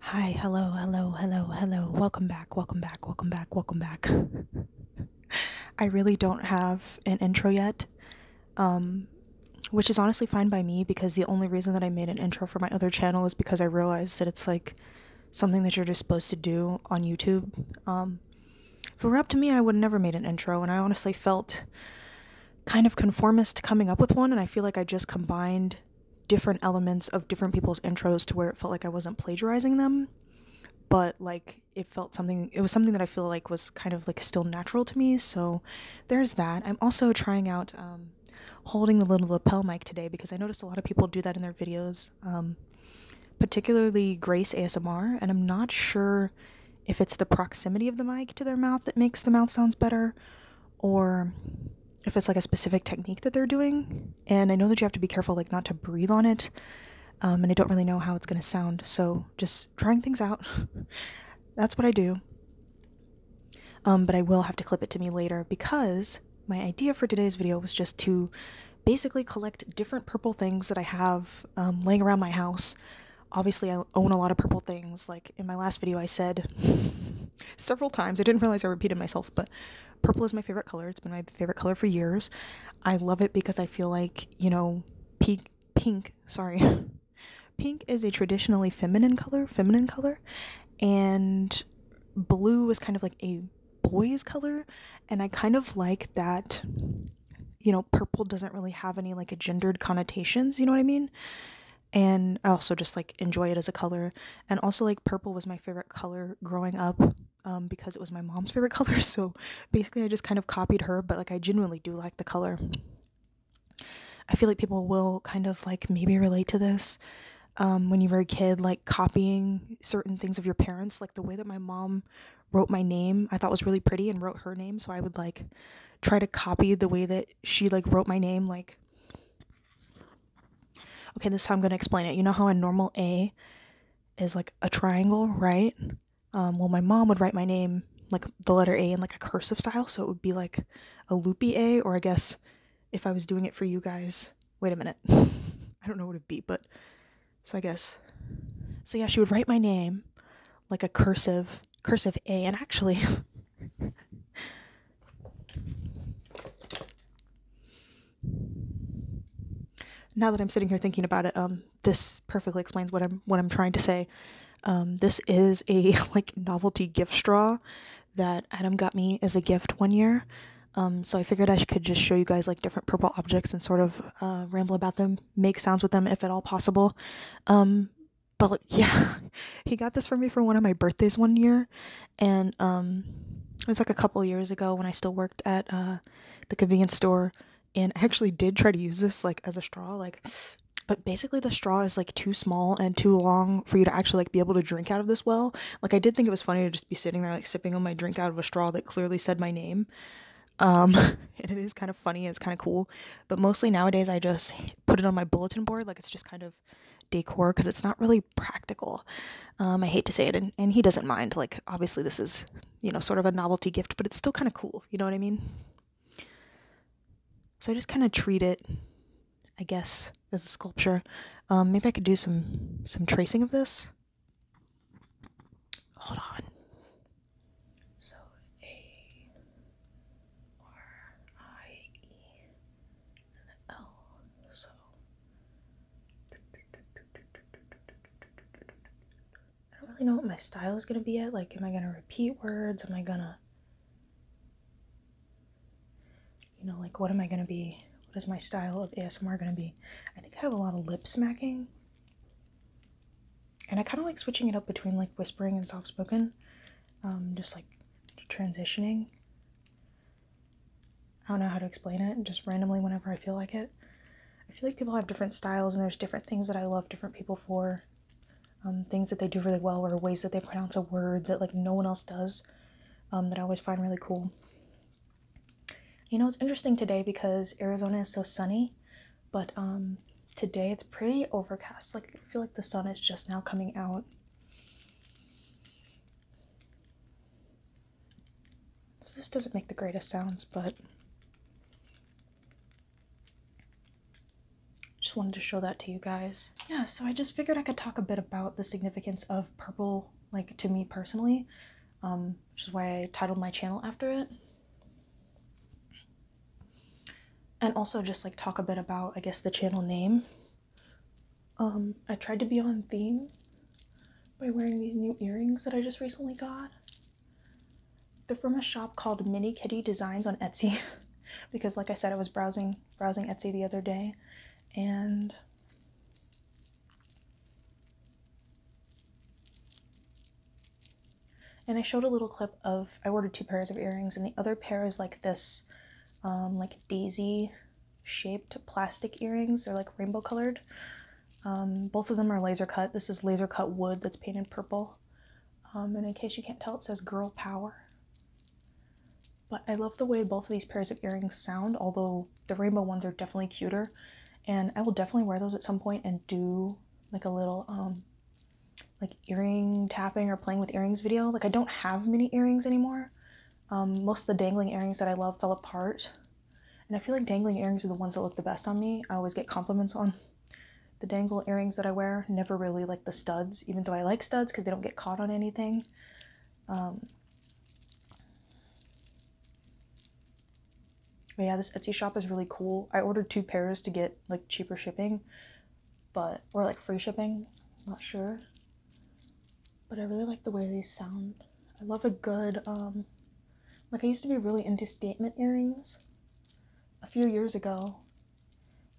Hi, hello, hello, hello, hello. Welcome back, welcome back, welcome back, welcome back. I really don't have an intro yet, um, which is honestly fine by me because the only reason that I made an intro for my other channel is because I realized that it's like something that you're just supposed to do on YouTube. Um, if it were up to me, I would have never made an intro, and I honestly felt kind of conformist coming up with one, and I feel like I just combined different elements of different people's intros to where it felt like I wasn't plagiarizing them, but like it felt something, it was something that I feel like was kind of like still natural to me. So there's that. I'm also trying out um, holding the little lapel mic today because I noticed a lot of people do that in their videos, um, particularly Grace ASMR, and I'm not sure if it's the proximity of the mic to their mouth that makes the mouth sounds better or if it's like a specific technique that they're doing. And I know that you have to be careful, like, not to breathe on it. Um, and I don't really know how it's going to sound. So just trying things out. That's what I do. Um, but I will have to clip it to me later because my idea for today's video was just to basically collect different purple things that I have um, laying around my house. Obviously, I own a lot of purple things. Like in my last video, I said several times. I didn't realize I repeated myself, but purple is my favorite color. It's been my favorite color for years. I love it because I feel like, you know, pink, sorry. pink is a traditionally feminine color, feminine color, and blue is kind of like a boy's color, and I kind of like that you know, purple doesn't really have any like a gendered connotations, you know what I mean? and I also just like enjoy it as a color. And also like purple was my favorite color growing up um, because it was my mom's favorite color. So basically, I just kind of copied her, but like I genuinely do like the color. I feel like people will kind of like maybe relate to this um, when you were a kid, like copying certain things of your parents, like the way that my mom wrote my name I thought was really pretty and wrote her name so I would like try to copy the way that she like wrote my name like okay this is how i'm going to explain it you know how a normal a is like a triangle right um, well my mom would write my name like the letter a in like a cursive style so it would be like a loopy a or i guess if i was doing it for you guys wait a minute i don't know what it'd be but so i guess so yeah she would write my name like a cursive cursive a and actually now that I'm sitting here thinking about it, um, this perfectly explains what I'm what I'm trying to say. Um, this is a like novelty gift straw that Adam got me as a gift one year. Um, so I figured I could just show you guys like different purple objects and sort of uh, ramble about them, make sounds with them if at all possible. Um, but yeah, he got this for me for one of my birthdays one year, and um, it was like a couple years ago when I still worked at uh, the convenience store, and I actually did try to use this like as a straw, like. But basically, the straw is like too small and too long for you to actually like be able to drink out of this well. Like, I did think it was funny to just be sitting there like sipping on my drink out of a straw that clearly said my name. Um, and it is kind of funny it's kind of cool. But mostly nowadays, I just put it on my bulletin board. Like, it's just kind of decor because it's not really practical. Um, I hate to say it, and, and he doesn't mind. Like, obviously, this is, you know, sort of a novelty gift, but it's still kind of cool. You know what I mean? So I just kind of treat it, I guess, as a sculpture. Um, maybe I could do some some tracing of this. Hold on. L. So I don't really know what my style is gonna be At Like, am I gonna repeat words? Am I gonna, you know, like what am I gonna be? What is my style of ASMR gonna be? I think I have a lot of lip smacking. And I kind of like switching it up between like whispering and soft spoken, um, just like transitioning. I don't know how to explain it, just randomly whenever I feel like it. I feel like people have different styles and there's different things that I love different people for. Um, things that they do really well or ways that they pronounce a word that like no one else does um, that I always find really cool. You know, it's interesting today because Arizona is so sunny, but um, today it's pretty overcast. Like, I feel like the sun is just now coming out. So this doesn't make the greatest sounds, but just wanted to show that to you guys. Yeah, so I just figured I could talk a bit about the significance of purple, like to me personally, um, which is why I titled my channel after it. And also just like talk a bit about, I guess, the channel name. Um, I tried to be on theme by wearing these new earrings that I just recently got. They're from a shop called Mini Kitty Designs on Etsy because like I said I was browsing browsing Etsy the other day and and I showed a little clip of I ordered two pairs of earrings and the other pair is like this um, like daisy shaped plastic earrings. They're like rainbow colored. Um, both of them are laser cut. This is laser cut wood that's painted purple. Um, and in case you can't tell, it says Girl Power. But I love the way both of these pairs of earrings sound, although the rainbow ones are definitely cuter. And I will definitely wear those at some point and do like a little um, like earring tapping or playing with earrings video. Like I don't have many earrings anymore. Um, most of the dangling earrings that I love fell apart. And I feel like dangling earrings are the ones that look the best on me. I always get compliments on the dangle earrings that I wear. Never really like the studs, even though I like studs because they don't get caught on anything. Um, but yeah, this Etsy shop is really cool. I ordered two pairs to get like cheaper shipping, but or like free shipping. not sure but I really like the way they sound. I love a good, um, like I used to be really into statement earrings a few years ago.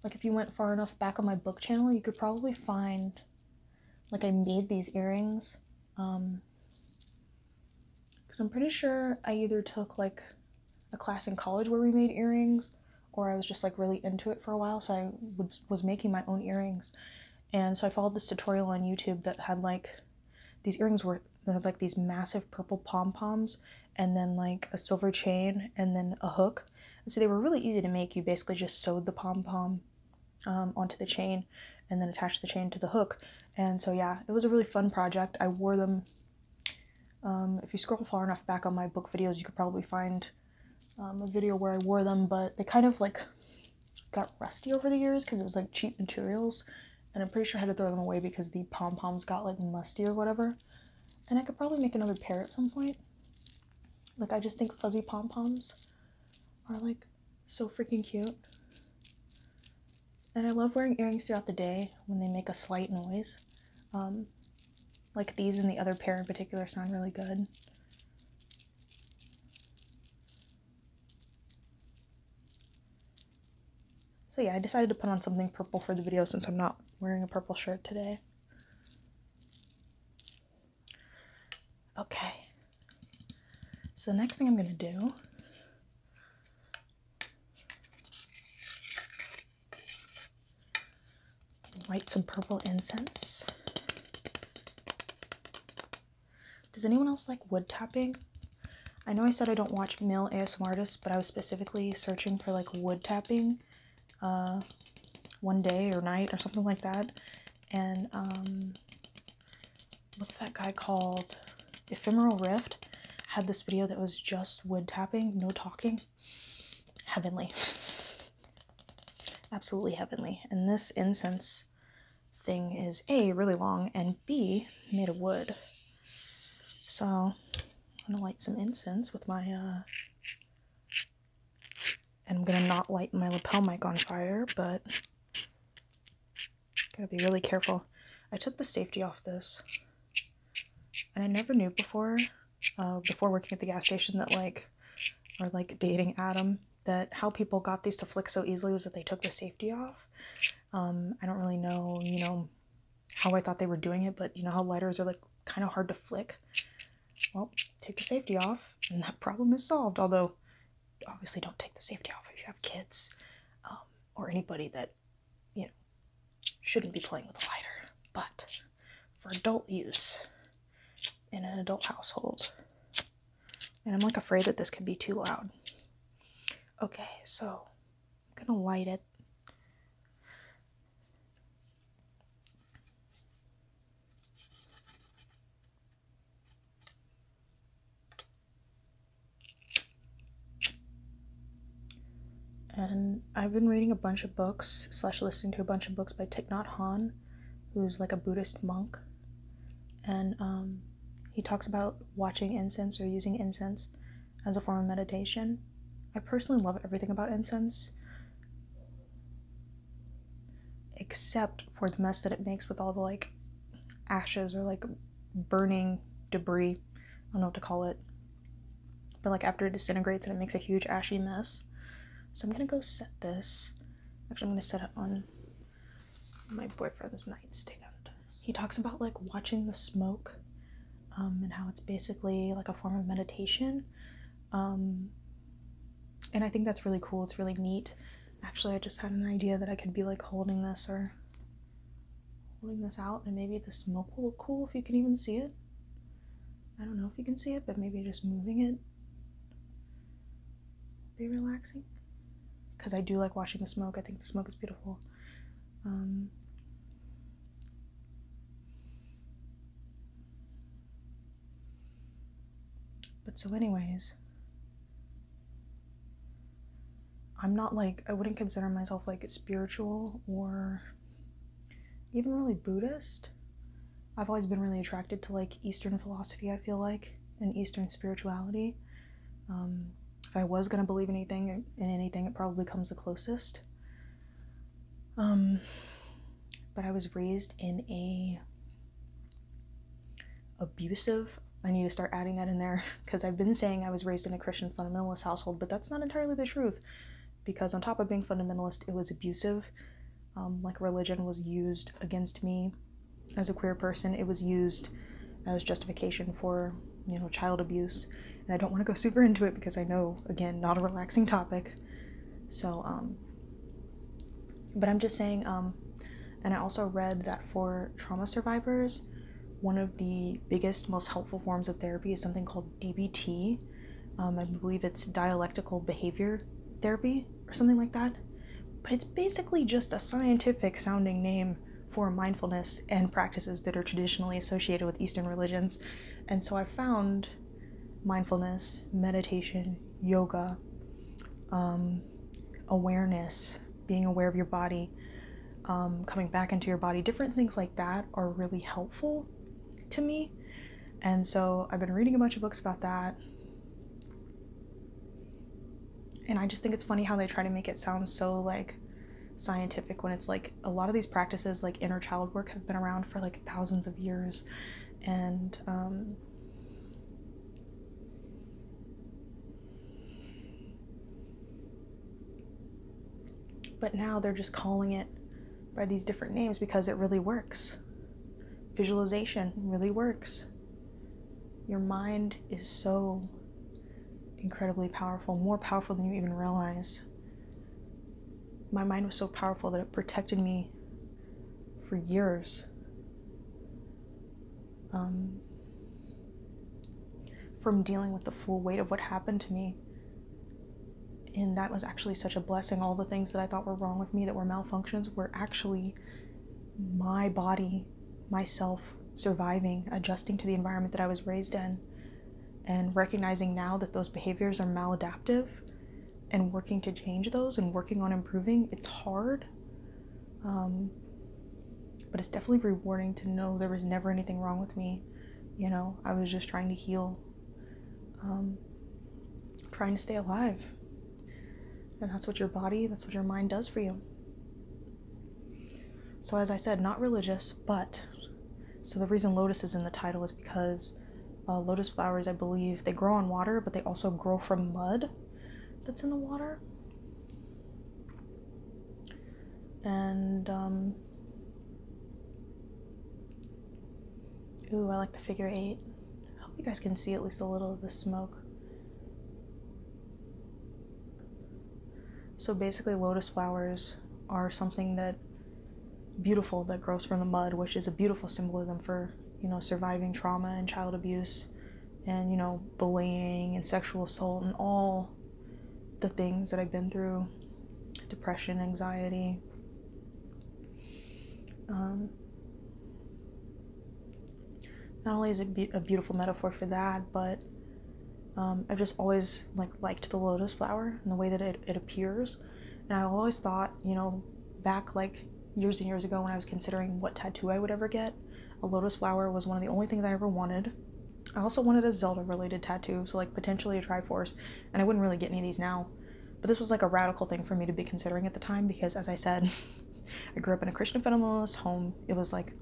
Like if you went far enough back on my book channel, you could probably find, like I made these earrings. because um, I'm pretty sure I either took like a class in college where we made earrings or I was just like really into it for a while so I was making my own earrings and so I followed this tutorial on YouTube that had like these earrings were like these massive purple pom poms and then like a silver chain and then a hook. And so they were really easy to make. You basically just sewed the pom pom um, onto the chain and then attached the chain to the hook. And so yeah, it was a really fun project. I wore them. Um, if you scroll far enough back on my book videos, you could probably find um, a video where I wore them, but they kind of like got rusty over the years because it was like cheap materials. And I'm pretty sure I had to throw them away because the pom poms got like musty or whatever. And I could probably make another pair at some point. Like, I just think fuzzy pom poms are like so freaking cute. And I love wearing earrings throughout the day when they make a slight noise. Um, like these and the other pair in particular sound really good. So yeah, I decided to put on something purple for the video since I'm not wearing a purple shirt today. Okay. So the next thing I'm going to do light some purple incense does anyone else like wood tapping? I know I said I don't watch male ASMR artists, but I was specifically searching for like wood tapping uh, one day or night or something like that. And um, what's that guy called? Ephemeral Rift had this video that was just wood tapping, no talking. Heavenly. absolutely heavenly. And this incense thing is A, really long, and B, made of wood. So I'm gonna light some incense with my, uh, and I'm gonna not light my lapel mic on fire, but gotta be really careful. I took the safety off this, and I never knew before, uh, before working at the gas station that like or like dating Adam that how people got these to flick so easily was that they took the safety off. Um, I don't really know, you know, how I thought they were doing it, but you know how lighters are like kind of hard to flick. Well, take the safety off, and that problem is solved. Although, obviously, don't take the safety off if you have kids um, or anybody that you know shouldn't be playing with a lighter. But for adult use in an adult household, and I'm like afraid that this could be too loud. Okay, so I'm gonna light it. And I've been reading a bunch of books slash listening to a bunch of books by Thich Nhat Hanh, who's like a Buddhist monk and um, he talks about watching incense or using incense as a form of meditation. I personally love everything about incense, except for the mess that it makes with all the like ashes or like burning debris. I don't know what to call it. But like after it disintegrates and it makes a huge ashy mess. So I'm gonna go set this. Actually, I'm gonna set it on my boyfriend's nightstand. He talks about like watching the smoke um, and how it's basically like a form of meditation. Um, and I think that's really cool. It's really neat. Actually, I just had an idea that I could be like holding this or holding this out, and maybe the smoke will look cool if you can even see it. I don't know if you can see it, but maybe just moving it be relaxing because I do like watching the smoke. I think the smoke is beautiful. Um, but so, anyways, I'm not like, I wouldn't consider myself like spiritual or even really Buddhist. I've always been really attracted to like Eastern philosophy, I feel like, and Eastern spirituality. Um, if I was gonna believe anything in anything, it probably comes the closest. Um, but I was raised in a abusive. I need to start adding that in there because I've been saying I was raised in a Christian fundamentalist household, but that's not entirely the truth. Because on top of being fundamentalist, it was abusive um, like religion was used against me as a queer person. It was used as justification for, you know, child abuse. And I don't want to go super into it because I know, again, not a relaxing topic. So, um, but I'm just saying, um, and I also read that for trauma survivors, one of the biggest, most helpful forms of therapy is something called DBT. I believe it's dialectical behavior therapy or something like that. But it's basically just a scientific sounding name for mindfulness and practices that are traditionally associated with Eastern religions. And so I found mindfulness, meditation, yoga, um, awareness, being aware of your body, um, coming back into your body, different things like that are really helpful to me. And so I've been reading a bunch of books about that. And I just think it's funny how they try to make it sound so like scientific when it's like a lot of these practices like inner child work have been around for like thousands of years and um but now they're just calling it by these different names because it really works. Visualization really works. Your mind is so incredibly powerful, more powerful than you even realize. My mind was so powerful that it protected me for years. Um, from dealing with the full weight of what happened to me. And that was actually such a blessing. All the things that I thought were wrong with me that were malfunctions were actually my body, myself surviving, adjusting to the environment that I was raised in, and recognizing now that those behaviors are maladaptive and working to change those and working on improving. It's hard, um, but it's definitely rewarding to know there was never anything wrong with me. You know, I was just trying to heal, um, trying to stay alive, and that's what your body, that's what your mind does for you. So, as I said, not religious, but so the reason lotus is in the title is because uh, lotus flowers, I believe, they grow on water, but they also grow from mud that's in the water. And, um, ooh, I like the figure eight. I hope you guys can see at least a little of the smoke. So basically, lotus flowers are something that beautiful that grows from the mud, which is a beautiful symbolism for, you know, surviving trauma and child abuse and, you know, bullying and sexual assault and all the things that I've been through depression, anxiety. Um, not only is it a beautiful metaphor for that, but um, I've just always like liked the lotus flower and the way that it appears. And I always thought, you know, back like years and years ago when I was considering what tattoo I would ever get, a lotus flower was one of the only things I ever wanted. I also wanted a Zelda related tattoo, so like potentially a Triforce, and I wouldn't really get any of these now. But this was like a radical thing for me to be considering at the time because, as I said, I grew up in a Christian fundamentalist home. It was like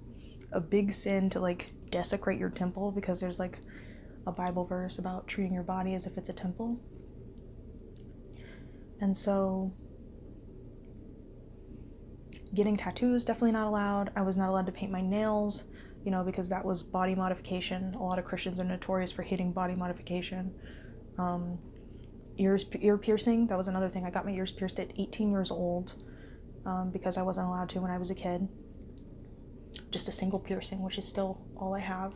a big sin to like desecrate your temple because there's like a Bible verse about treating your body as if it's a temple. And so getting tattoos definitely not allowed. I was not allowed to paint my nails, you know, because that was body modification. A lot of Christians are notorious for hating body modification. Um, ears ear piercing. That was another thing. I got my ears pierced at 18 years old um, because I wasn't allowed to when I was a kid. Just a single piercing, which is still all I have.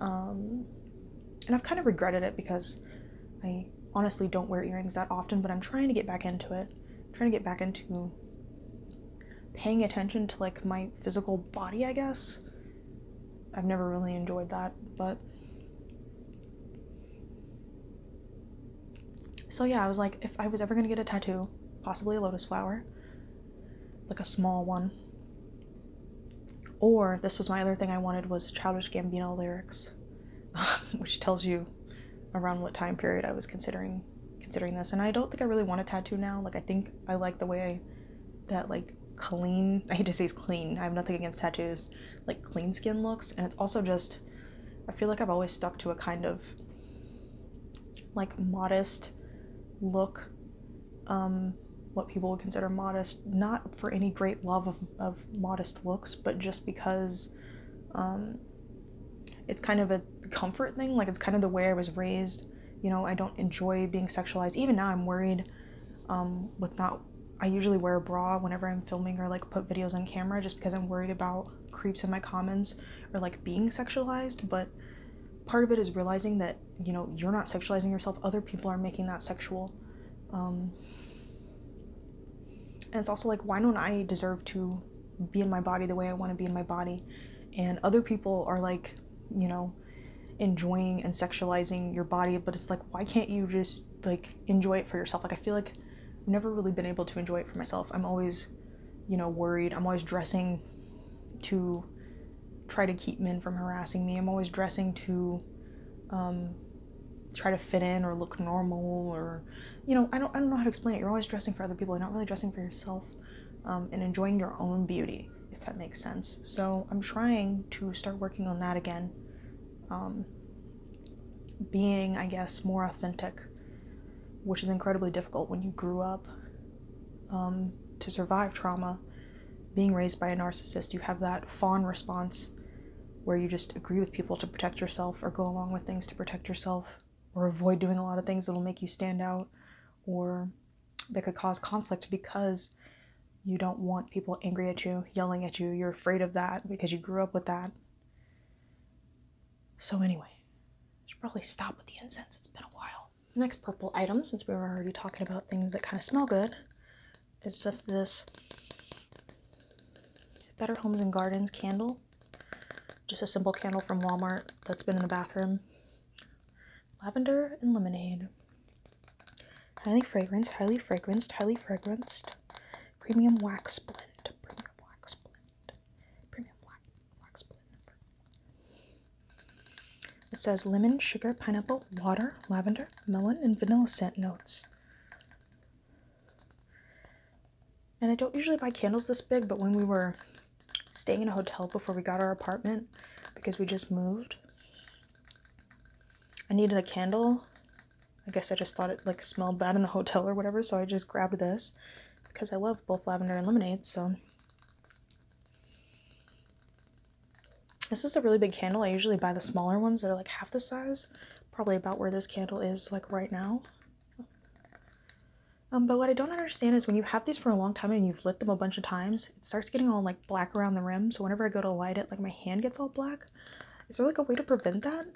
Um, and I've kind of regretted it because I honestly don't wear earrings that often, but I'm trying to get back into it. trying to get back into paying attention to like my physical body, I guess. I've never really enjoyed that, but so yeah, I was like, if I was ever gonna get a tattoo, possibly a lotus flower, like a small one. Or this was my other thing I wanted was Childish Gambino lyrics, which tells you around what time period I was considering considering this. And I don't think I really want a tattoo now. Like I think I like the way I, that like clean. I hate to say it's clean. I have nothing against tattoos, like clean skin looks and it's also just I feel like I've always stuck to a kind of like modest look um, what people would consider modest not for any great love of, modest looks but just because um, it's kind of a comfort thing like it's kind of the way I was raised you know I don't enjoy being sexualized even now I'm worried um, with not I usually wear a bra whenever I'm filming or like put videos on camera just because I'm worried about creeps in my comments or like being sexualized, but part of it is realizing that, you know, you're not sexualizing yourself, other people are making that sexual. Um, and it's also like, why don't I deserve to be in my body the way I want to be in my body? And other people are like, you know, enjoying and sexualizing your body, but it's like, why can't you just like enjoy it for yourself. Like I feel like I've never really been able to enjoy it for myself. I'm always, you know, worried. I'm always dressing to try to keep men from harassing me. I'm always dressing to um, try to fit in or look normal or you know, I don't I don't know how to explain it. You're always dressing for other people, you're not really dressing for yourself um, and enjoying your own beauty, if that makes sense. So I'm trying to start working on that again. Um, being, I guess, more authentic, which is incredibly difficult when you grew up um, to survive trauma. Being raised by a narcissist, you have that fawn response where you just agree with people to protect yourself or go along with things to protect yourself or avoid doing a lot of things that'll make you stand out or that could cause conflict because you don't want people angry at you, yelling at you. You're afraid of that because you grew up with that. So, anyway, I should probably stop with the incense. It's been a while. Next purple item, since we were already talking about things that kind of smell good, is just this Better Homes and Gardens candle. Just a simple candle from Walmart that's been in the bathroom. Lavender and lemonade highly fragranced, highly fragranced, highly fragranced, premium wax blend, premium wax blend, premium wax, wax blend. It says lemon, sugar, pineapple, water, lavender, melon, and vanilla scent notes. And I don't usually buy candles this big, but when we were staying in a hotel before we got our apartment because we just moved, I needed a candle I guess I just thought it like smelled bad in the hotel or whatever, so I just grabbed this because I love both lavender and lemonade, so this is a really big candle. I usually buy the smaller ones that are like half the size, probably about where this candle is like right now. Um, but what I don't understand is when you have these for a long time and you've lit them a bunch of times, it starts getting all like black around the rim. So whenever I go to light it, like my hand gets all black. Is there like a way to prevent that?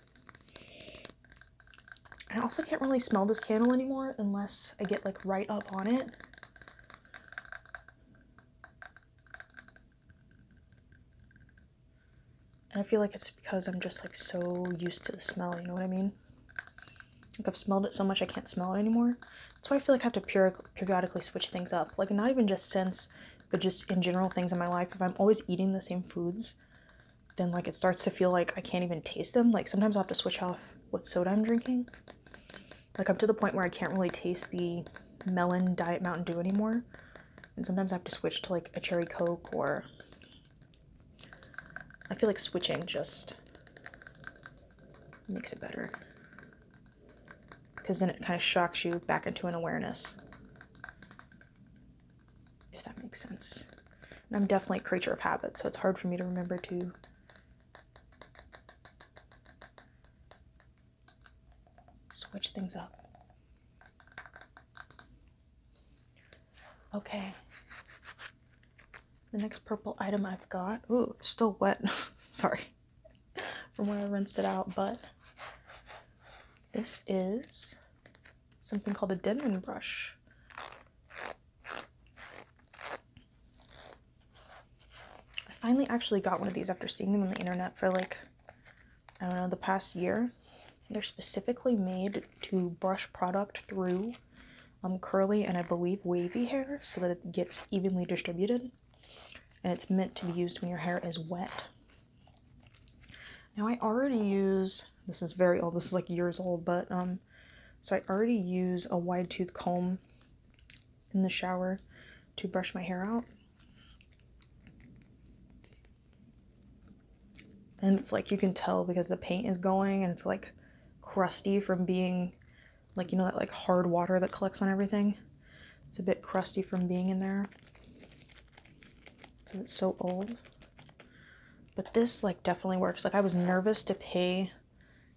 I also can't really smell this candle anymore unless I get like right up on it. And I feel like it's because I'm just like so used to the smell, you know what I mean? Like I've smelled it so much I can't smell it anymore. That's why I feel like I have to periodically switch things up. Like not even just since but just in general things in my life if i'm always eating the same foods then like it starts to feel like i can't even taste them like sometimes i'll have to switch off what soda i'm drinking like i'm to the point where i can't really taste the melon diet mountain dew anymore and sometimes i have to switch to like a cherry coke or i feel like switching just makes it better because then it kind of shocks you back into an awareness if that makes sense. I'm definitely a creature of habit, so it's hard for me to remember to switch things up. Okay. The next purple item I've got, ooh, it's still wet, sorry, from where I rinsed it out, but this is something called a Denman brush. I finally actually got one of these after seeing them on the internet for like, I don't know, the past year. They're specifically made to brush product through um, curly and I believe wavy hair so that it gets evenly distributed. And it's meant to be used when your hair is wet. Now I already use, this is very old, this is like years old, but um, so I already use a wide tooth comb in the shower to brush my hair out. And it's like you can tell because the paint is going and it's like crusty from being like you know that like hard water that collects on everything. It's a bit crusty from being in there it's so old. But this like definitely works. Like I was nervous to pay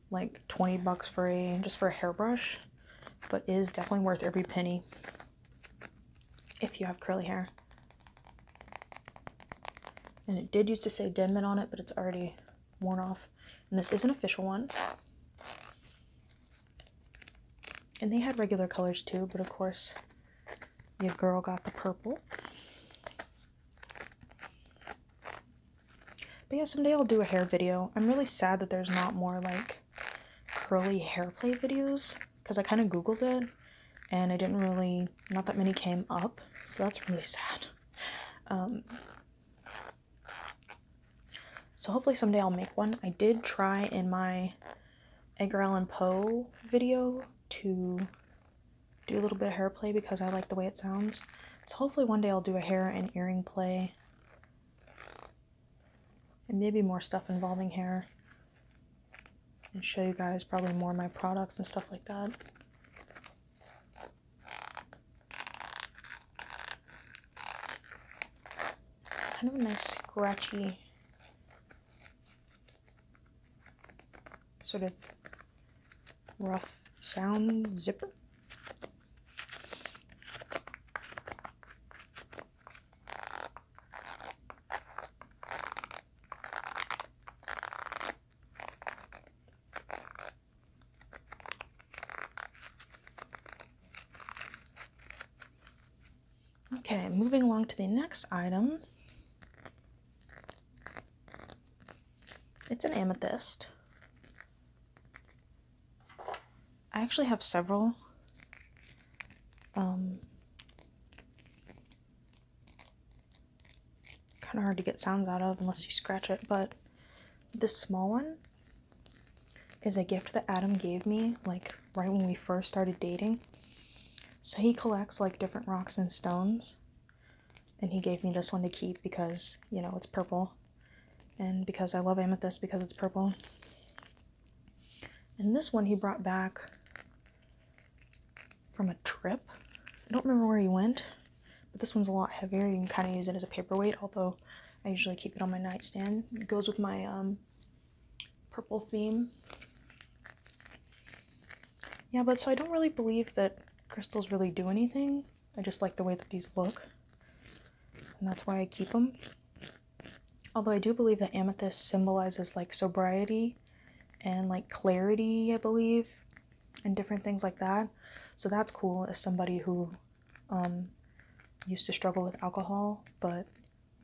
like 20 bucks for a just for a hairbrush, but is definitely worth every penny if you have curly hair. And it did used to say Denman on it, but it's already worn off. And this is an official one. And they had regular colors too, but of course, the girl got the purple. But yeah, someday I'll do a hair video. I'm really sad that there's not more like curly hair play videos because I kind of googled it and I didn't really, not that many came up. So that's really sad. Um, so hopefully someday I'll make one. I did try in my Edgar Allan Poe video to do a little bit of hair play because I like the way it sounds. So hopefully one day I'll do a hair and earring play. And maybe more stuff involving hair. And show you guys probably more my products and stuff like that. Kind of a nice scratchy sort of rough sound zipper. Okay, moving along to the next item. It's an amethyst. I actually have several. Um, kind of hard to get sounds out of unless you scratch it, but this small one is a gift that Adam gave me like right when we first started dating. So he collects like different rocks and stones. And he gave me this one to keep because, you know, it's purple. And because I love amethyst because it's purple. And this one he brought back from a trip. I don't remember where he went, but this one's a lot heavier. You can kind of use it as a paperweight, although I usually keep it on my nightstand. It goes with my um, purple theme. Yeah, but so I don't really believe that crystals really do anything. I just like the way that these look. And that's why I keep them. Although I do believe that amethyst symbolizes like sobriety and like clarity, I believe, and different things like that. So that's cool as somebody who um, used to struggle with alcohol, but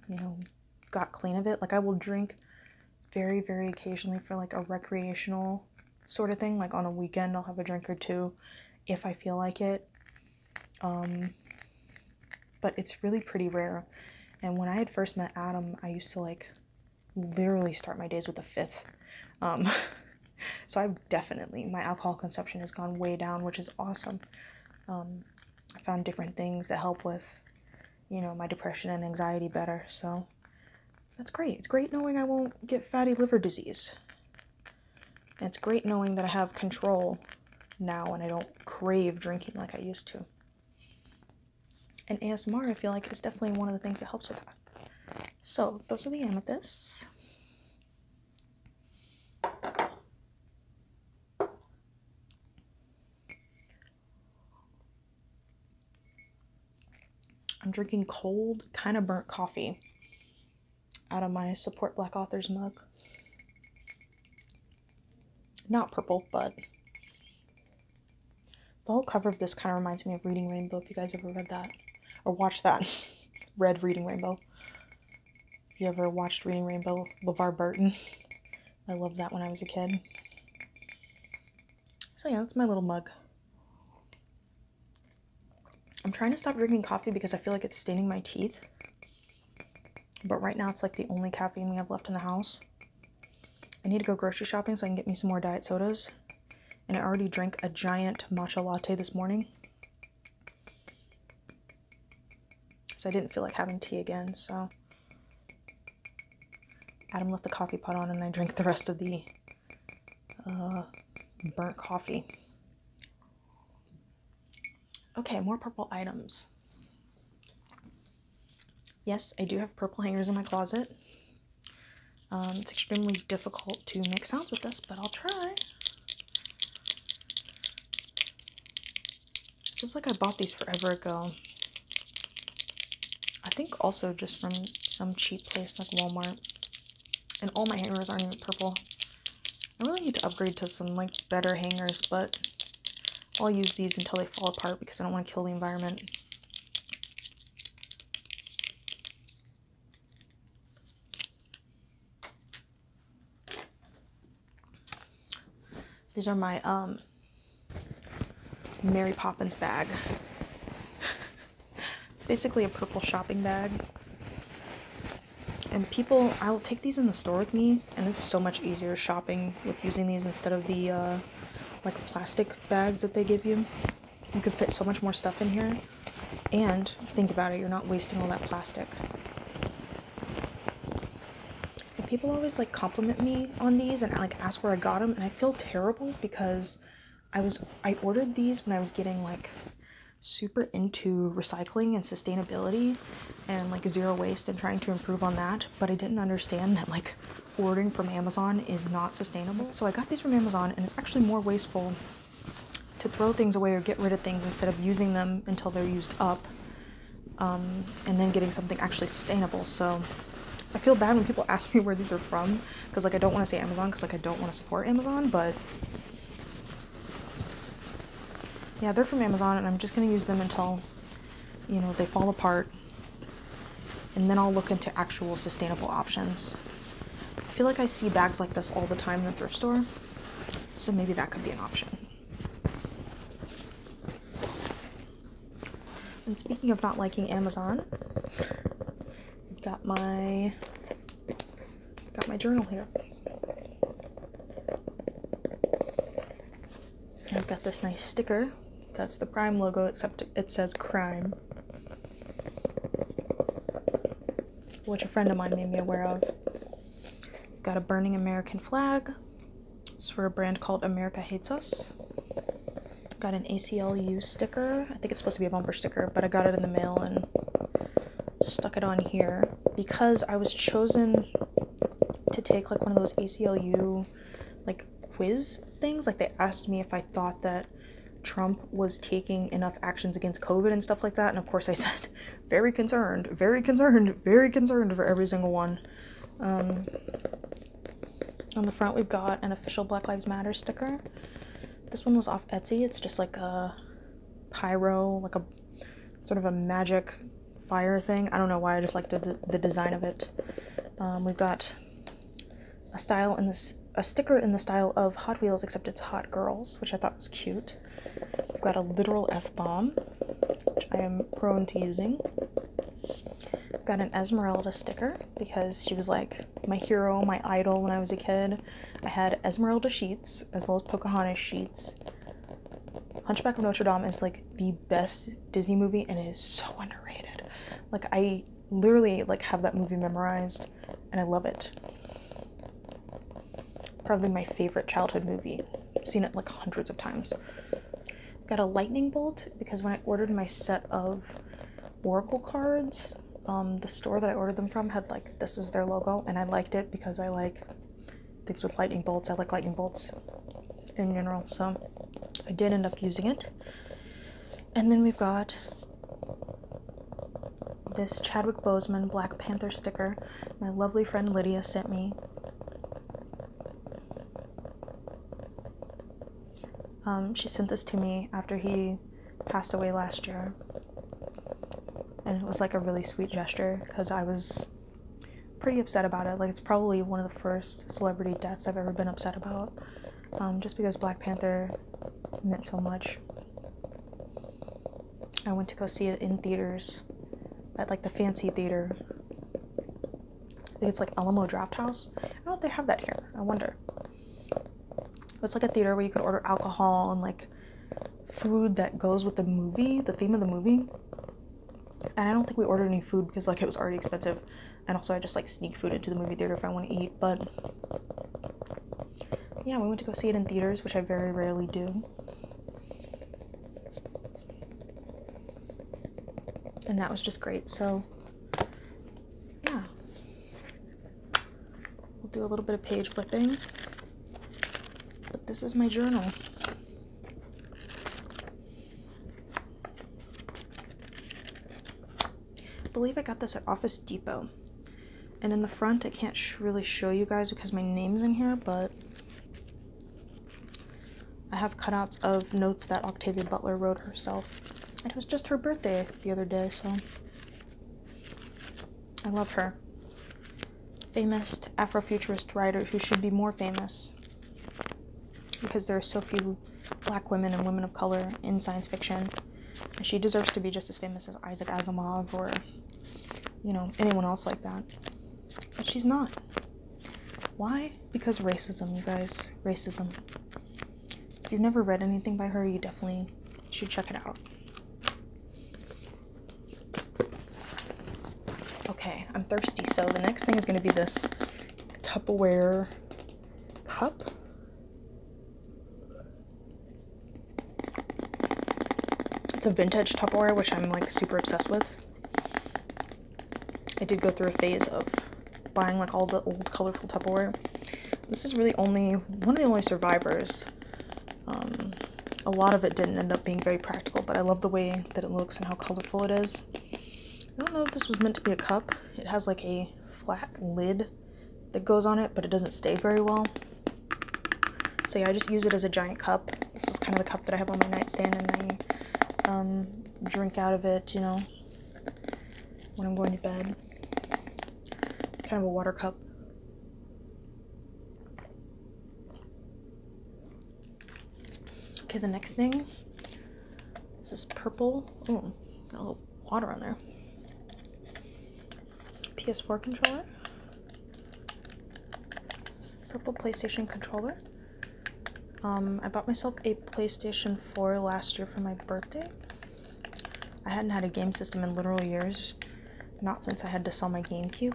you know, got clean of it. Like I will drink very, very occasionally for like a recreational sort of thing. Like on a weekend, I'll have a drink or two if I feel like it. Um, but it's really pretty rare. And when I had first met Adam, I used to like literally start my days with a fifth. Um, so I've definitely, my alcohol consumption has gone way down, which is awesome. Um, I found different things that help with you know, my depression and anxiety better. So that's great. It's great knowing I won't get fatty liver disease. it's great knowing that I have control now and I don't crave drinking like I used to. And ASMR, I feel like, is definitely one of the things that helps with that. So, those are the amethysts. I'm drinking cold, kind of burnt coffee out of my Support Black Authors mug. Not purple, but the whole cover of this kind of reminds me of Reading Rainbow, if you guys ever read that or watched that. Read Reading Rainbow. If you ever watched Reading Rainbow, LeVar Burton I loved that when I was a kid. So yeah, that's my little mug. I'm trying to stop drinking coffee because I feel like it's staining my teeth. But right now it's like the only caffeine we have left in the house. I need to go grocery shopping so I can get me some more diet sodas. And I already drank a giant matcha latte this morning. So I didn't feel like having tea again, so Adam left the coffee pot on and I drank the rest of the uh, burnt coffee. Okay, more purple items. Yes, I do have purple hangers in my closet. Um, it's extremely difficult to make sounds with this, but I'll try. Feels like I bought these forever ago. I think also just from some cheap place like Walmart. And all my hangers aren't even purple. I really need to upgrade to some like better hangers, but I'll use these until they fall apart because I don't want to kill the environment. These are my um, Mary Poppins bag. Basically a purple shopping bag. And people, I will take these in the store with me, and it's so much easier shopping with using these instead of the uh, like plastic bags that they give you. You could fit so much more stuff in here. And think about it, you're not wasting all that plastic people always like compliment me on these and like ask where I got them, and I feel terrible because I was I ordered these when I was getting like super into recycling and sustainability and like zero waste and trying to improve on that, but I didn't understand that like ordering from Amazon is not sustainable. So I got these from Amazon and it's actually more wasteful to throw things away or get rid of things instead of using them until they're used up um, and then getting something actually sustainable. So I feel bad when people ask me where these are from because like I don't want to say Amazon because like I don't want to support Amazon, but yeah, they're from Amazon and I'm just gonna use them until you know they fall apart, and then I'll look into actual sustainable options. I feel like I see bags like this all the time in the thrift store, so maybe that could be an option. And speaking of not liking Amazon, I've got my got my journal here. I've got this nice sticker. That's the Prime logo, except it says crime. Which a friend of mine made me aware of. Got a burning American flag, it's for a brand called America Hates Us. Got an ACLU sticker. I think it's supposed to be a bumper sticker, but I got it in the mail and stuck it on here because I was chosen to take like one of those ACLU like quiz things. Like they asked me if I thought that Trump was taking enough actions against COVID and stuff like that. And of course, I said, very concerned, very concerned, very concerned for every single one. Um, on the front, we've got an official Black Lives Matter sticker. This one was off Etsy. It's just like a pyro, like a sort of a magic fire thing. I don't know why, I just like the, the design of it. Um, we've got a style in this, a sticker in the style of Hot Wheels, except it's Hot Girls, which I thought was cute. We've got a literal F bomb, which I am prone to using. Got an Esmeralda sticker because she was like my hero, my idol when I was a kid. I had Esmeralda sheets as well as Pocahontas sheets. Hunchback of Notre Dame is like the best Disney movie and it is so underrated. Like I literally like have that movie memorized and I love it. Probably my favorite childhood movie. seen it like hundreds of times. Got a lightning bolt because when I ordered my set of Oracle cards, um, the store that I ordered them from had like this is their logo, and I liked it because I like things with lightning bolts. I like lightning bolts in general, so I did end up using it. And then we've got this Chadwick Boseman Black Panther sticker my lovely friend Lydia sent me. Um, she sent this to me after he passed away last year. And it was like a really sweet gesture because I was pretty upset about it. Like, it's probably one of the first celebrity deaths I've ever been upset about. Um, just because Black Panther meant so much. I went to go see it in theaters at like the fancy theater it's like Alamo Draft House. I don't know if they have that here. I wonder. It's like a theater where you could order alcohol and like food that goes with the movie, the theme of the movie. And I don't think we ordered any food because like it was already expensive. And also I just like sneak food into the movie theater if I want to eat, but yeah, we went to go see it in theaters, which I very rarely do and that was just great. So, yeah. We'll do a little bit of page flipping. But this is my journal. I believe I got this at Office Depot. And in the front, I can't really show you guys because my name's in here, but I have cutouts of notes that Octavia Butler wrote herself. it was just her birthday the other day, so I love her. Famous Afrofuturist writer who should be more famous because there are so few black women and women of color in science fiction. she deserves to be just as famous as Isaac Asimov or, you know, anyone else like that. But she's not. Why? Because racism, you guys. Racism. If you've never read anything by her, you definitely should check it out. Okay, I'm thirsty, so the next thing is going to be this Tupperware cup. It's a vintage Tupperware, which I'm like super obsessed with. I did go through a phase of buying like all the old colorful Tupperware. This is really only one of the only survivors. Um, a lot of it didn't end up being very practical, but I love the way that it looks and how colorful it is. I don't know if this was meant to be a cup. It has like a flat lid that goes on it, but it doesn't stay very well. So yeah, I just use it as a giant cup. This is kind of the cup that I have on my nightstand and I um, drink out of it, you know when I'm going to bed. kind of a water cup. Okay, the next thing is this purple. Oh, a little water on there. PS4 controller. Purple PlayStation controller. Um, I bought myself a PlayStation 4 last year for my birthday. I hadn't had a game system in literal years, not since I had to sell my GameCube.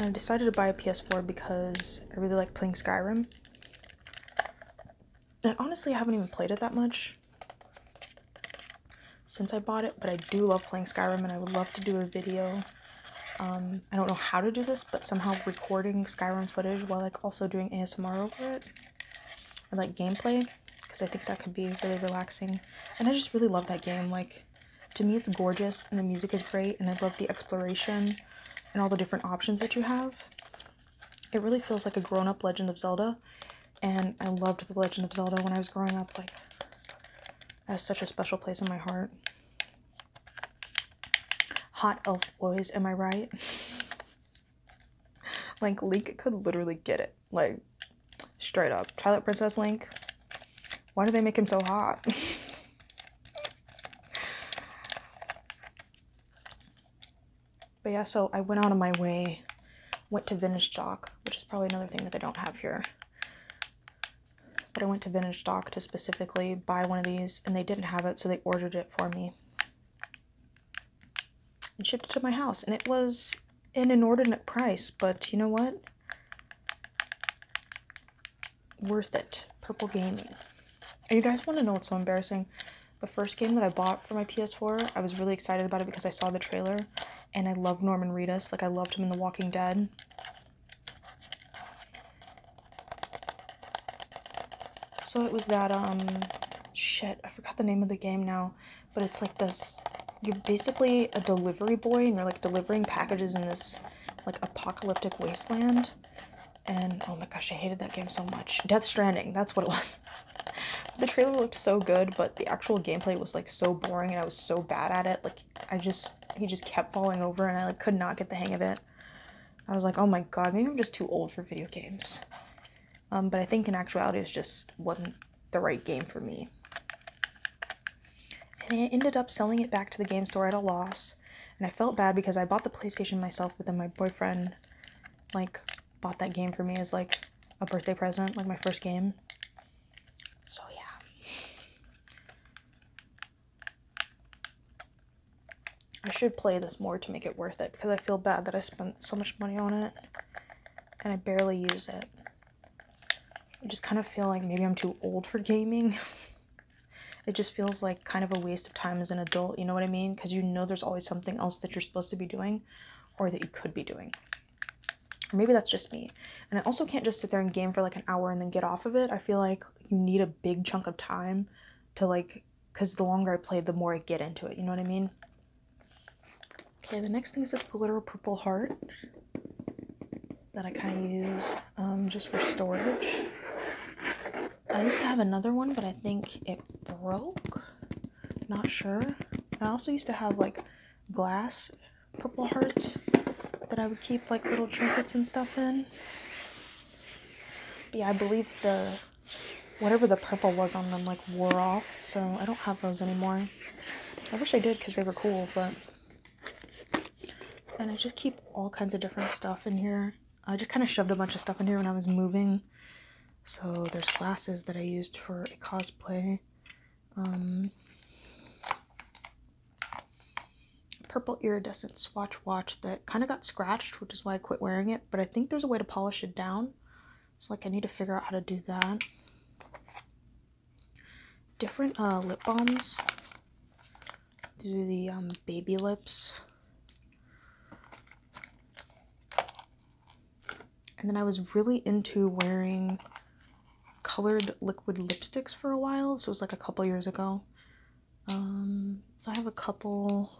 I decided to buy a PS4 because I really like playing Skyrim. And honestly, I haven't even played it that much since I bought it, but I do love playing Skyrim and I would love to do a video um, I don't know how to do this, but somehow recording Skyrim footage while like also doing ASMR over it, or like gameplay, because I think that could be really relaxing. And I just really love that game. Like, to me, it's gorgeous, and the music is great, and I love the exploration and all the different options that you have. It really feels like a grown-up Legend of Zelda, and I loved The Legend of Zelda when I was growing up. Like, as such a special place in my heart. Hot elf boys, am I right? like, Link could literally get it. Like, straight up. Twilight Princess Link, why do they make him so hot? but yeah, so I went out of my way, went to Vintage Dock, which is probably another thing that they don't have here. But I went to Vintage Doc to specifically buy one of these, and they didn't have it, so they ordered it for me and shipped it to my house. And it was an inordinate price, but you know what? Worth it. Purple Gaming. And you guys want to know what's so embarrassing? The first game that I bought for my PS4, I was really excited about it because I saw the trailer and I love Norman Reedus. Like, I loved him in The Walking Dead. So it was that, um, shit, I forgot the name of the game now, but it's like this, you're basically a delivery boy and you're like delivering packages in this like apocalyptic wasteland. And oh my gosh, I hated that game so much. Death Stranding, that's what it was. the trailer looked so good, but the actual gameplay was like so boring and I was so bad at it. Like I just he just kept falling over and I like could not get the hang of it. I was like, oh my god, maybe I'm just too old for video games. Um, but I think in actuality it just wasn't the right game for me. And I ended up selling it back to the game store at a loss. And I felt bad because I bought the PlayStation myself, but then my boyfriend like bought that game for me as like a birthday present, like my first game. So yeah. I should play this more to make it worth it because I feel bad that I spent so much money on it and I barely use it. I just kind of feel like maybe I'm too old for gaming. it just feels like kind of a waste of time as an adult, you know what I mean? Because you know there's always something else that you're supposed to be doing or that you could be doing. Or maybe that's just me. And I also can't just sit there and game for like an hour and then get off of it. I feel like you need a big chunk of time to like because the longer I play the more I get into it you know what I mean okay the next thing is this glitter purple heart that I kind of use um, just for storage I used to have another one but I think it broke not sure I also used to have like glass purple hearts that I would keep like little trinkets and stuff in yeah, I believe the whatever the purple was on them like wore off, so I don't have those anymore. I wish I did because they were cool, but and I just keep all kinds of different stuff in here. I just kind of shoved a bunch of stuff in here when I was moving. So there's glasses that I used for a cosplay. Um, purple iridescent swatch watch that kind of got scratched, which is why I quit wearing it. But I think there's a way to polish it down. So like I need to figure out how to do that. Different uh, lip balms. Do the um, baby lips. And then I was really into wearing colored liquid lipsticks for a while. So it was like a couple years ago. Um, so I have a couple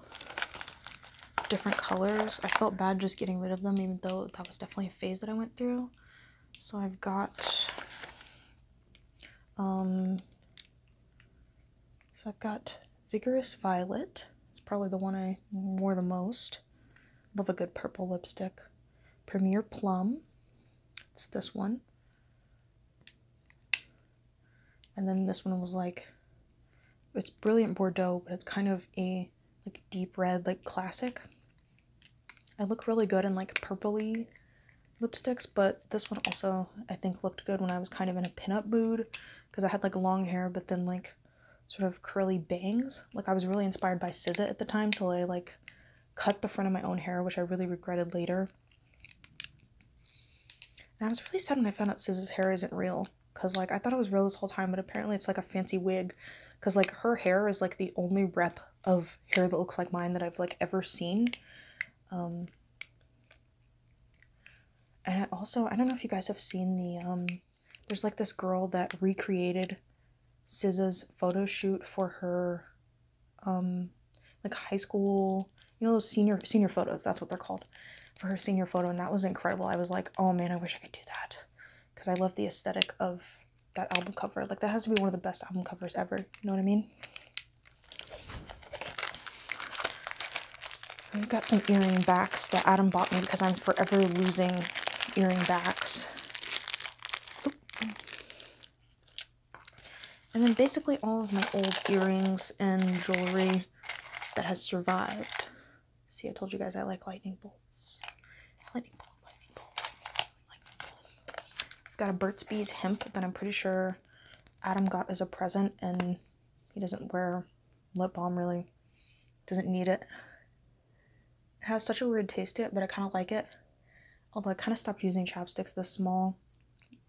different colors. I felt bad just getting rid of them, even though that was definitely a phase that I went through. So I've got, um, so I've got Vigorous Violet. It's probably the one I wore the most. Love a good purple lipstick. Premier Plum. It's this one. And then this one was like, it's brilliant Bordeaux, but it's kind of a like deep red, like classic. I look really good in like purpley lipsticks, but this one also I think looked good when I was kind of in a pinup mood because I had like long hair, but then like sort of curly bangs. Like I was really inspired by SZA at the time, so I like cut the front of my own hair, which I really regretted later. And I was really sad when I found out Scis's hair isn't real. Because, like, I thought it was real this whole time, but apparently it's like a fancy wig. Because, like, her hair is like the only rep of hair that looks like mine that I've, like, ever seen. Um, and I also, I don't know if you guys have seen the, um, there's like this girl that recreated SZA's photo shoot for her um, like high school, you know, those senior senior photos. That's what they're called for her senior photo, and that was incredible. I was like, oh man, I wish I could do that because I love the aesthetic of that album cover. Like that has to be one of the best album covers ever. You know what I mean? I've got some earring backs that Adam bought me because I'm forever losing earring backs. And then basically all of my old earrings and jewelry that has survived. See, I told you guys I like lightning bolts. Lightning bolt, lightning bolt, lightning bolt. Got a Burt's Bees hemp that I'm pretty sure Adam got as a present and he doesn't wear lip balm really. Doesn't need it. It has such a weird taste to it, but I kind of like it. Although I kind of stopped using chapsticks this small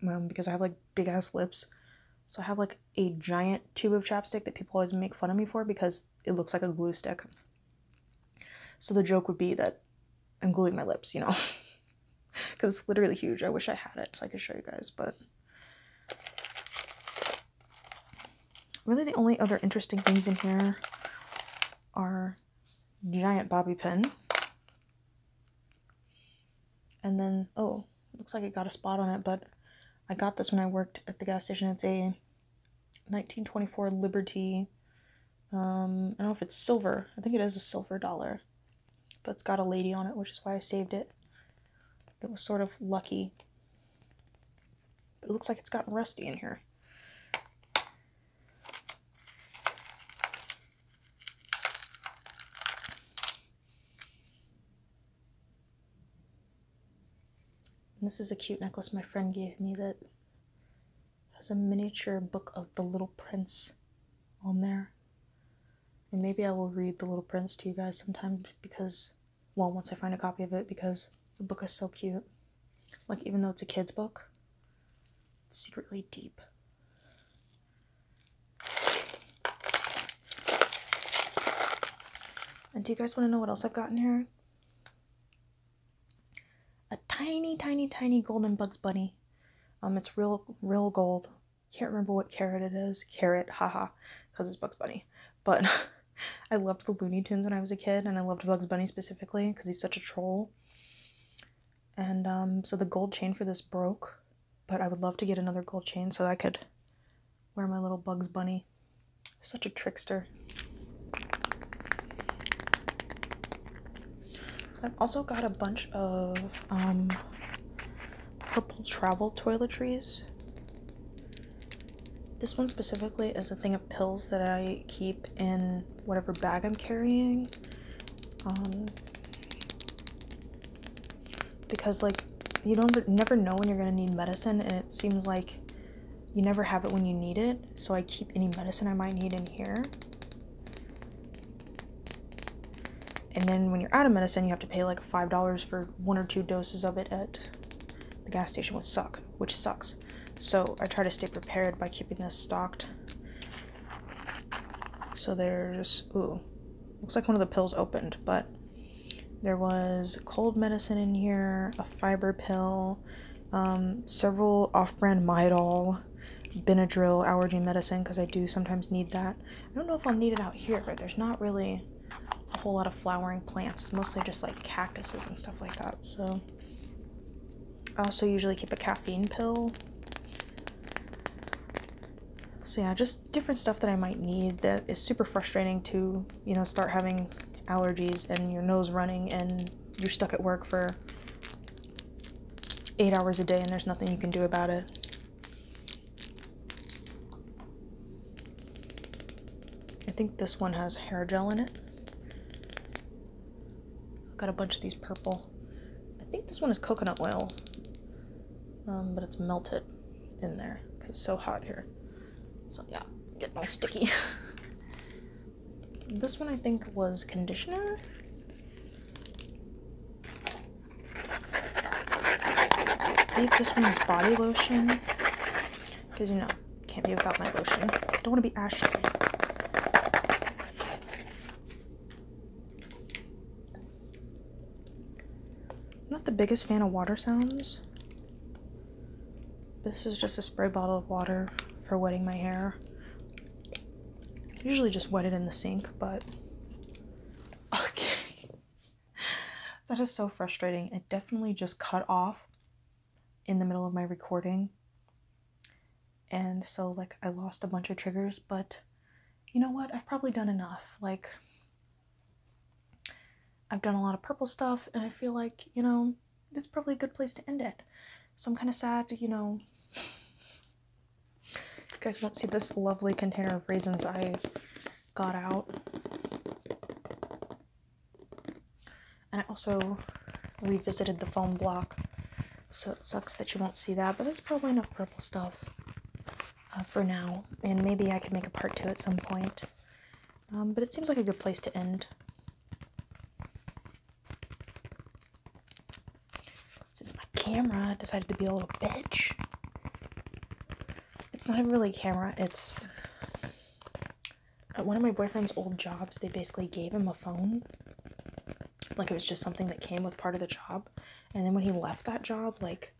um, because I have like big ass lips. So I have like a giant tube of chapstick that people always make fun of me for because it looks like a glue stick. So the joke would be that I'm gluing my lips, you know, because it's literally huge. I wish I had it so I could show you guys, but really the only other interesting things in here are giant bobby pin and then, oh, looks like it got a spot on it, but I got this when I worked at the gas station. It's a 1924 Liberty. Um, I don't know if it's silver. I think it is a silver dollar. But it's got a lady on it, which is why I saved it. It was sort of lucky. it looks like it's gotten rusty in here this is a cute necklace my friend gave me that has a miniature book of The Little Prince on there. And maybe I will read The Little Prince to you guys sometimes because, well, once I find a copy of it, because the book is so cute. Like, even though it's a kid's book, secretly deep. And do you guys want to know what else I've got in here? A tiny, tiny, tiny golden Bugs Bunny. Um, it's real, real gold. Can't remember what carrot it is. Carrot, haha, because it's Bugs Bunny. But I loved the Looney Tunes when I was a kid, and I loved Bugs Bunny specifically because he's such a troll. And um, so the gold chain for this broke, but I would love to get another gold chain so I could wear my little Bugs Bunny. Such a trickster. I've also got a bunch of um, purple travel toiletries. This one specifically is a thing of pills that I keep in whatever bag I'm carrying. Um, because like you don't never know when you're gonna need medicine and it seems like you never have it when you need it so i keep any medicine i might need in here and then when you're out of medicine you have to pay like five dollars for one or two doses of it at the gas station which suck which sucks so i try to stay prepared by keeping this stocked so there's ooh looks like one of the pills opened, but there was cold medicine in here, a fiber pill, um, several off-brand Mydol, Benadryl allergy medicine because I do sometimes need that. I don't know if I'll need it out here, but there's not really a whole lot of flowering plants. mostly just like cactuses and stuff like that. So I also usually keep a caffeine pill. So yeah, just different stuff that I might need that is super frustrating to, you know, start having allergies and your nose running and you're stuck at work for eight hours a day and there's nothing you can do about it. I think this one has hair gel in it. Got a bunch of these purple I think this one is coconut oil, um, but it's melted in there because it's so hot here. So yeah, get my sticky. this one I think was conditioner. I think this one was body lotion because you know, can't be without my lotion. don't want to be ashy. I'm not the biggest fan of water sounds. This is just a spray bottle of water for wetting my hair. usually just wet it in the sink, but okay. that is so frustrating. It definitely just cut off in the middle of my recording. And so like I lost a bunch of triggers, but you know what, I've probably done enough. Like, I've done a lot of purple stuff, and I feel like, you know, it's probably a good place to end it. So I'm kind of sad, you know. You guys won't see this lovely container of raisins I got out. And I also revisited the foam block, so it sucks that you won't see that, but that's probably enough purple stuff. Uh, for now, and maybe I could make a part two at some point. Um, but it seems like a good place to end. Since my camera decided to be a little bitch, it's not really a camera, it's at one of my boyfriend's old jobs, they basically gave him a phone. Like it was just something that came with part of the job. And then when he left that job, like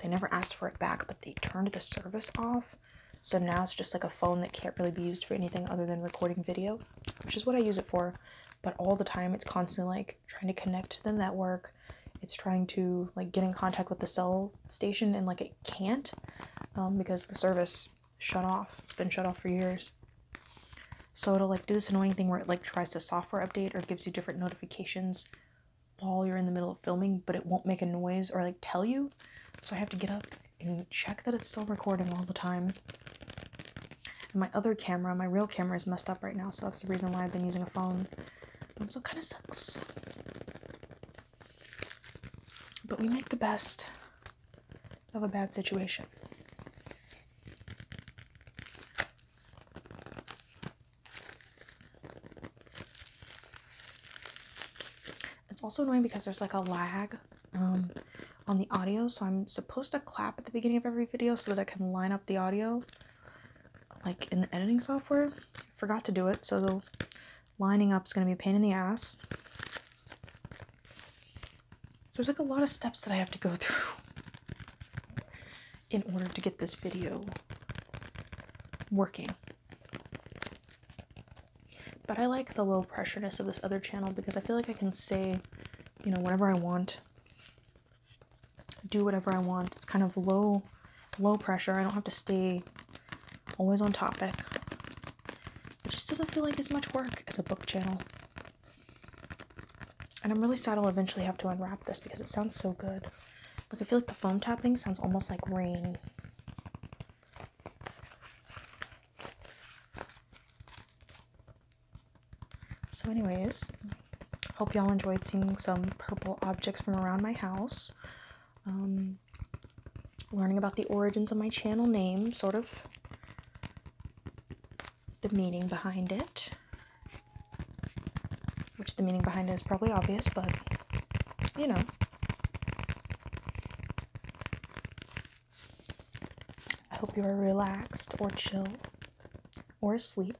they never asked for it back, but they turned the service off. So now it's just like a phone that can't really be used for anything other than recording video, which is what I use it for. But all the time, it's constantly like trying to connect to the network. It's trying to like get in contact with the cell station, and like it can't um, because the service shut off. been shut off for years. So it'll like do this annoying thing where it like tries to software update or gives you different notifications while you're in the middle of filming, but it won't make a noise or like tell you. So I have to get up and check that it's still recording all the time. And my other camera, my real camera, is messed up right now, so that's the reason why I've been using a phone. Um, so it kind of sucks. But we make the best of a bad situation. It's also annoying because there's like a lag um, on the audio, so I'm supposed to clap at the beginning of every video so that I can line up the audio like in the editing software. Forgot to do it, so the lining up is going to be a pain in the ass. So there's like a lot of steps that I have to go through in order to get this video working. But I like the low pressureness of this other channel because I feel like I can say, you know, whatever I want, do whatever I want. It's kind of low, low pressure. I don't have to stay always on topic. It just doesn't feel like as much work as a book channel. And I'm really sad I'll eventually have to unwrap this because it sounds so good. Like, I feel like the foam tapping sounds almost like rain. So, anyways, hope y'all enjoyed seeing some purple objects from around my house. Um, learning about the origins of my channel name, sort of the meaning behind it. Which the meaning behind it is probably obvious, but you know. I hope you are relaxed or chill or asleep.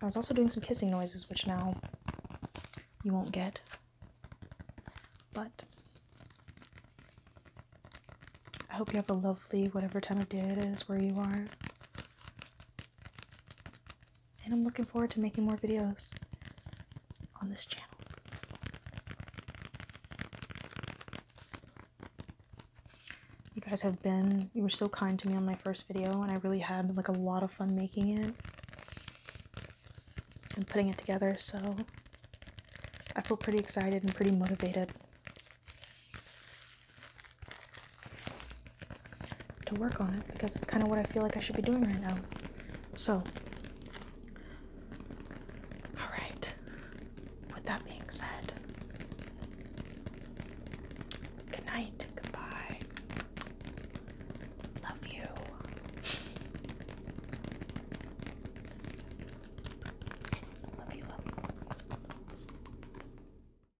I was also doing some kissing noises, which now you won't get. But I hope you have a lovely whatever time of day it is where you are. And I'm looking forward to making more videos on this channel. You guys have been, you were so kind to me on my first video and I really had like a lot of fun making it and putting it together so I feel pretty excited and pretty motivated to work on it because it's kind of what I feel like I should be doing right now. So, all right, with that being said, good night, goodbye, love you. Love you, love